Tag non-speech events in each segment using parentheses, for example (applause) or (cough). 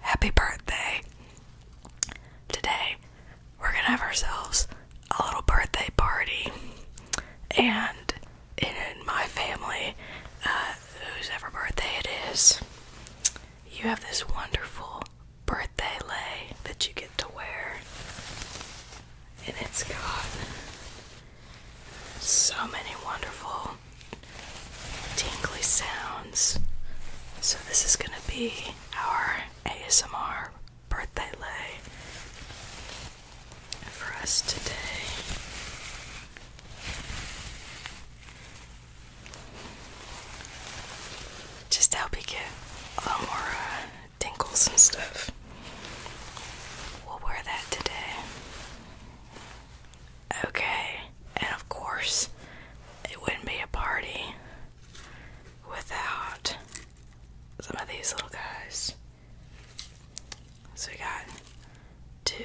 Happy birthday! Today we're gonna have ourselves a little birthday party, and in my family, uh, whose ever birthday it is, you have this wonderful birthday lay that you get to wear and it's got so many wonderful tingly sounds. So, this is going to be our ASMR birthday lay for us today. Just to help you get a little more uh, tinkles and stuff. We'll wear that today. Okay, and of course, it wouldn't be a party without some of these little guys. So we got two.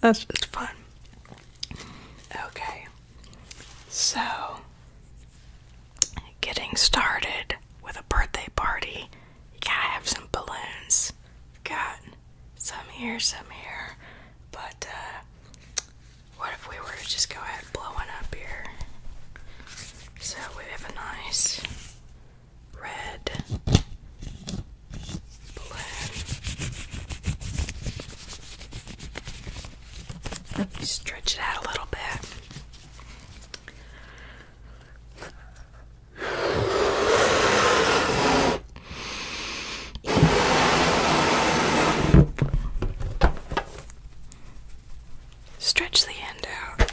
That's just fun. Okay, so getting started with a birthday party, you gotta have some balloons. got some here, some here, but uh, what if we were to just go ahead and blow one up here? So we have a nice red Stretch it out a little bit. Stretch the end out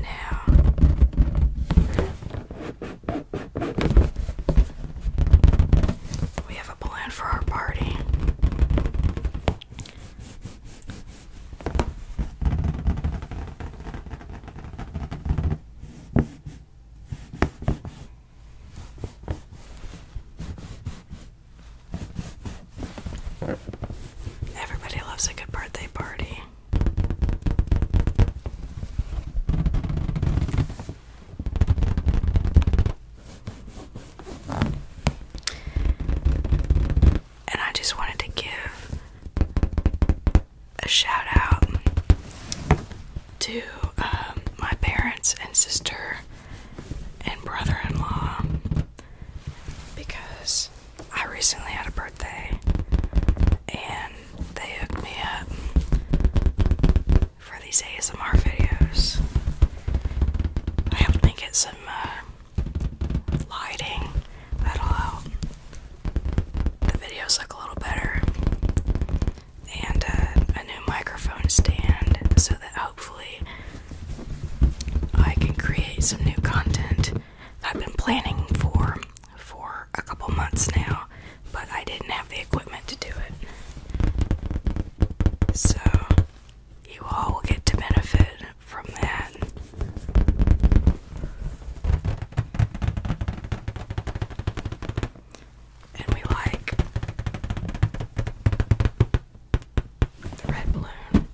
now we have a plan for our party. Everybody loves a good birthday party. And I just wanted to give a shout out to um, my parents and sister and brother in law because I recently had a birthday and they hooked me up for these ASMR videos. I helped me get some uh, lighting that'll help the videos look a little better and uh, a new microphone stand so that hopefully I can create some new content that I've been planning for for a couple months now, but I didn't have the equipment to do it. So you all will get to benefit from that. And we like the red balloon.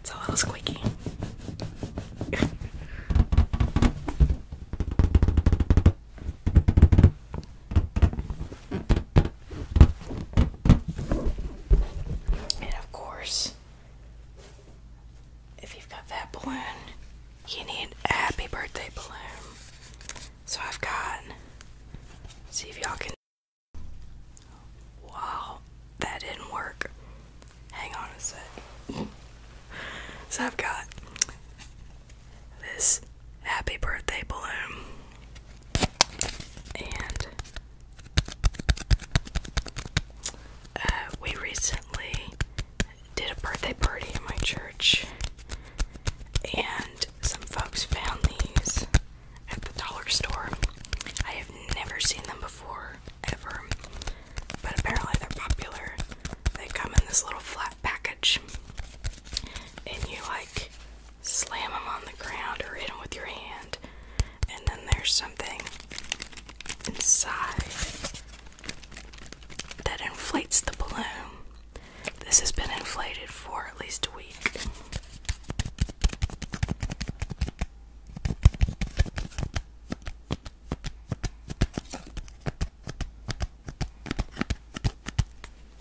It's a little squeaky. (laughs) And of course, if you've got that balloon, you need a happy birthday balloon. So I've got, see if y'all can. Wow, that didn't work. Hang on a sec. (laughs) So I've got this happy birthday balloon and uh, we recently did a birthday party in my church, and some folks found these at the dollar store. I have never seen them before, ever, but apparently they're popular. They come in this little flat package, and you like slam him on the ground or hit him with your hand. And then there's something inside that inflates the balloon. This has been inflated for at least a week.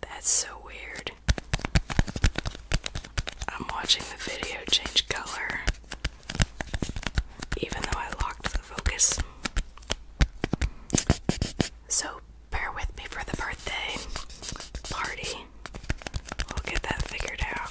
That's so weird. I'm watching the video change color, even though I locked the focus. So, bear with me for the birthday party. We'll get that figured out.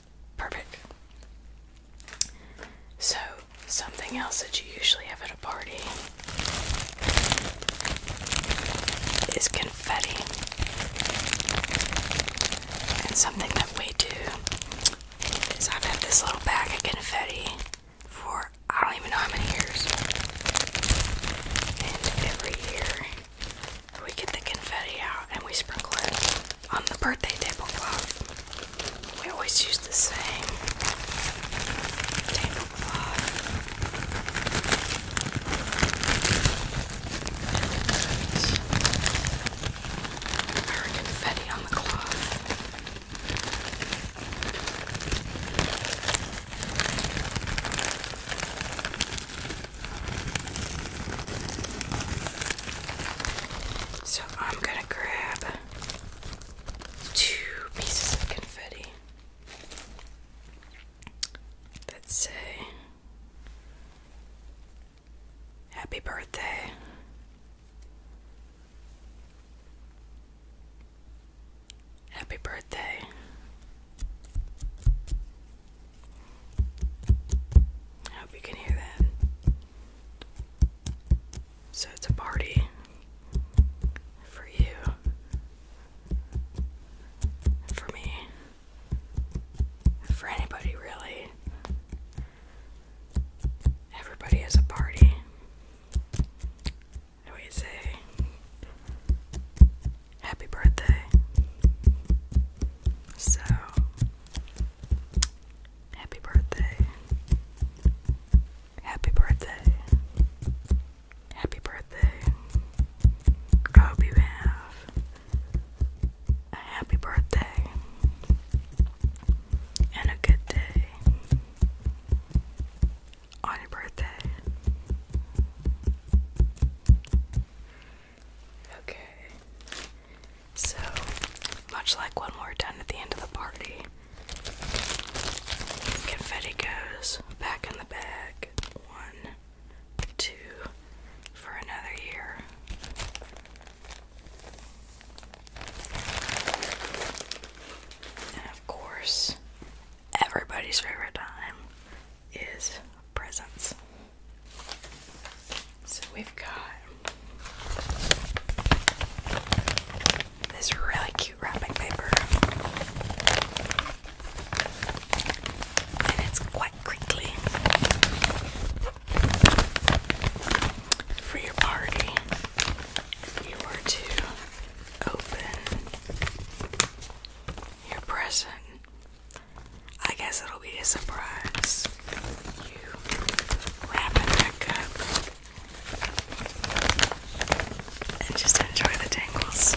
Perfect. So, something else that you usually have at a party is confetti. And something that we do is I've this little bag of confetti for I don't even know how many years. And every year we get the confetti out and we sprinkle it on the birthday tablecloth. We always use the same tablecloth. Our confetti on the cloth. So I'm gonna grab two pieces of confetti that say Happy Birthday. Happy birthday. I hope you can hear that. So it's a party for you, for me, for anybody really. Everybody has a party. What do you say? happy birthday. So, happy birthday. Happy birthday. Happy birthday. I hope you have a happy birthday and a good day on your birthday. Okay. So, much like when we're done at the end of the party, confetti goes back in the bag. One, two, for another year. And of course, everybody's favorite time is presents. So we've got this really cute wrapping paper. And it's quite crinkly for your party. you were to open your present I guess it'll be a surprise. You wrap up and just enjoy the tangles.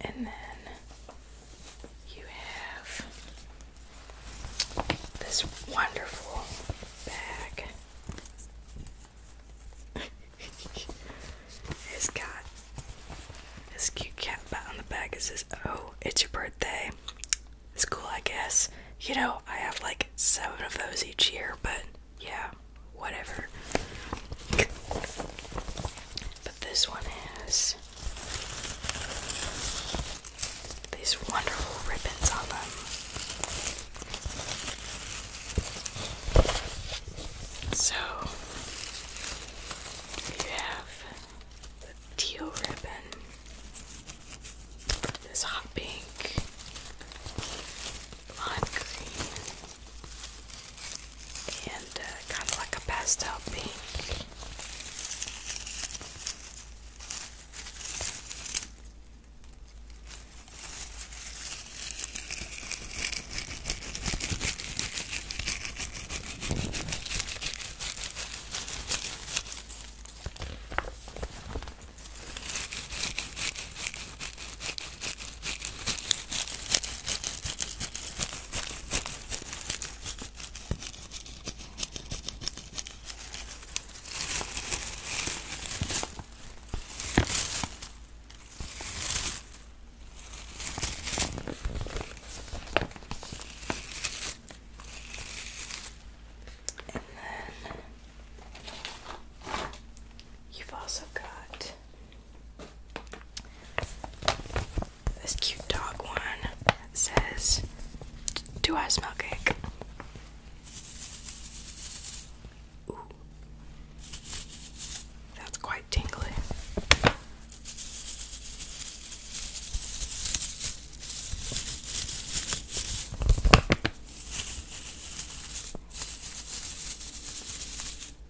and then you have this wonderful bag. (laughs) it's got this cute cat bat on the back. It says, Oh, it's your birthday. It's cool, I guess. You know, I have like seven of those each year, but yeah, whatever. But this one has these wonderful ribbons on them. So you have the teal ribbon, this hot pink, lime green, and uh, kind of like a pastel pink you've also got this cute dog one says, Do I smell cake? Ooh. That's quite tingly.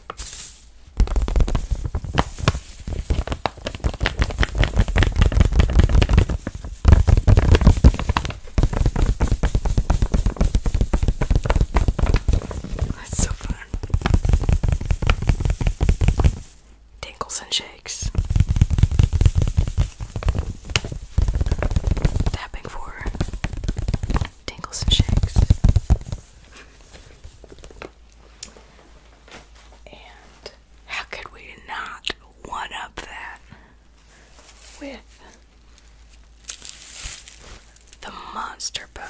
That's so fun. Tinkles and shakes. Tapping for tingles and shakes. And how could we not one up that with the monster bow?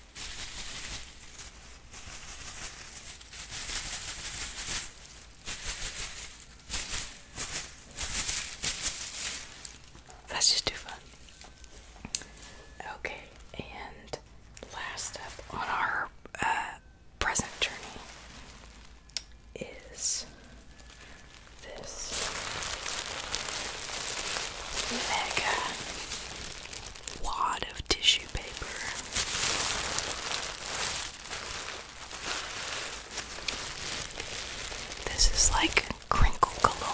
That's just too fun. Okay, and last up on our uh, present journey is this mega wad of tissue paper. This is like crinkle galore.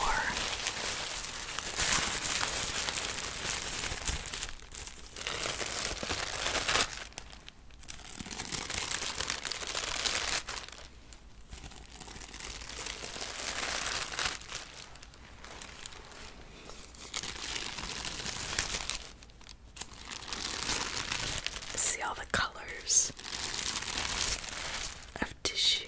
See all the colors of tissue.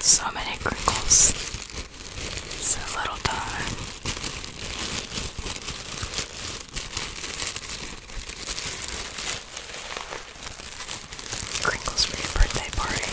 So many crinkles. It's a little time. Crinkles for your birthday party.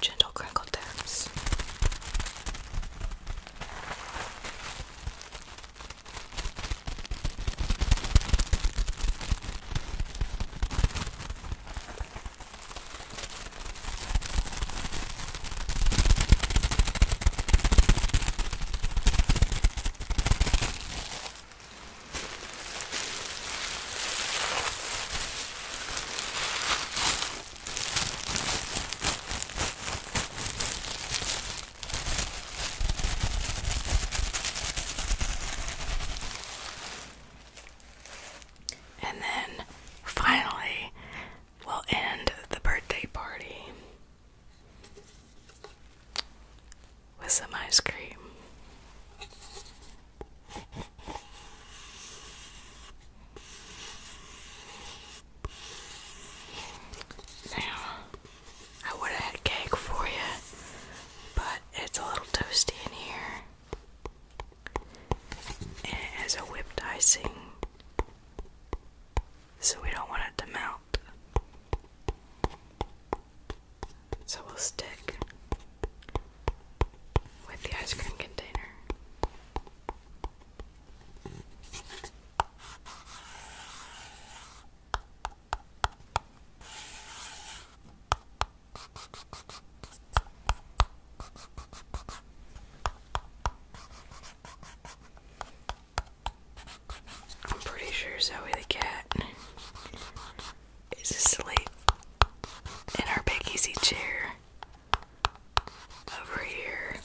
Gentle crinkle taps. And then finally, we'll end the birthday party with some ice cream. Now, I would have had cake for you, but it's a little toasty in here. And it has a whipped icing, so we don't want it to melt. So we'll stick with the ice cream container. I'm pretty sure Zoe the cat is asleep in our big easy chair over here.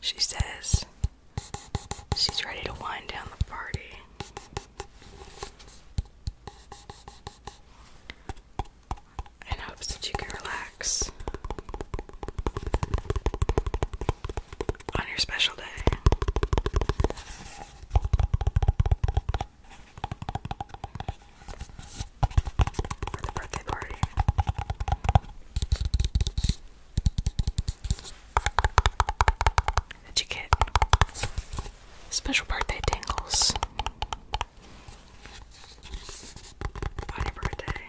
She says she's ready to wind down the party. In hopes that you can relax on your special day. For the birthday party. That you get special birthday tingles on birthday.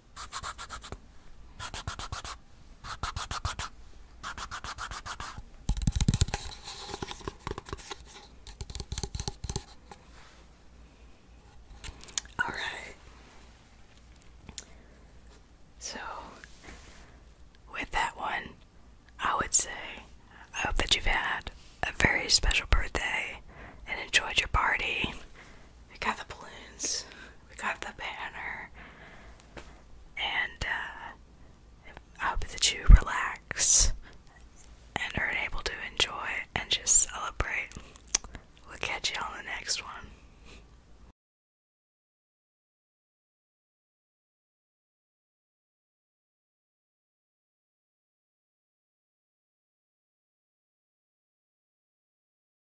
All right. So, with that one, I would say I hope that you've had a very special birthday and enjoyed your party we got the balloons, we got the banner, and uh, I hope that you relax and are able to enjoy and just celebrate. We'll catch you on the next one.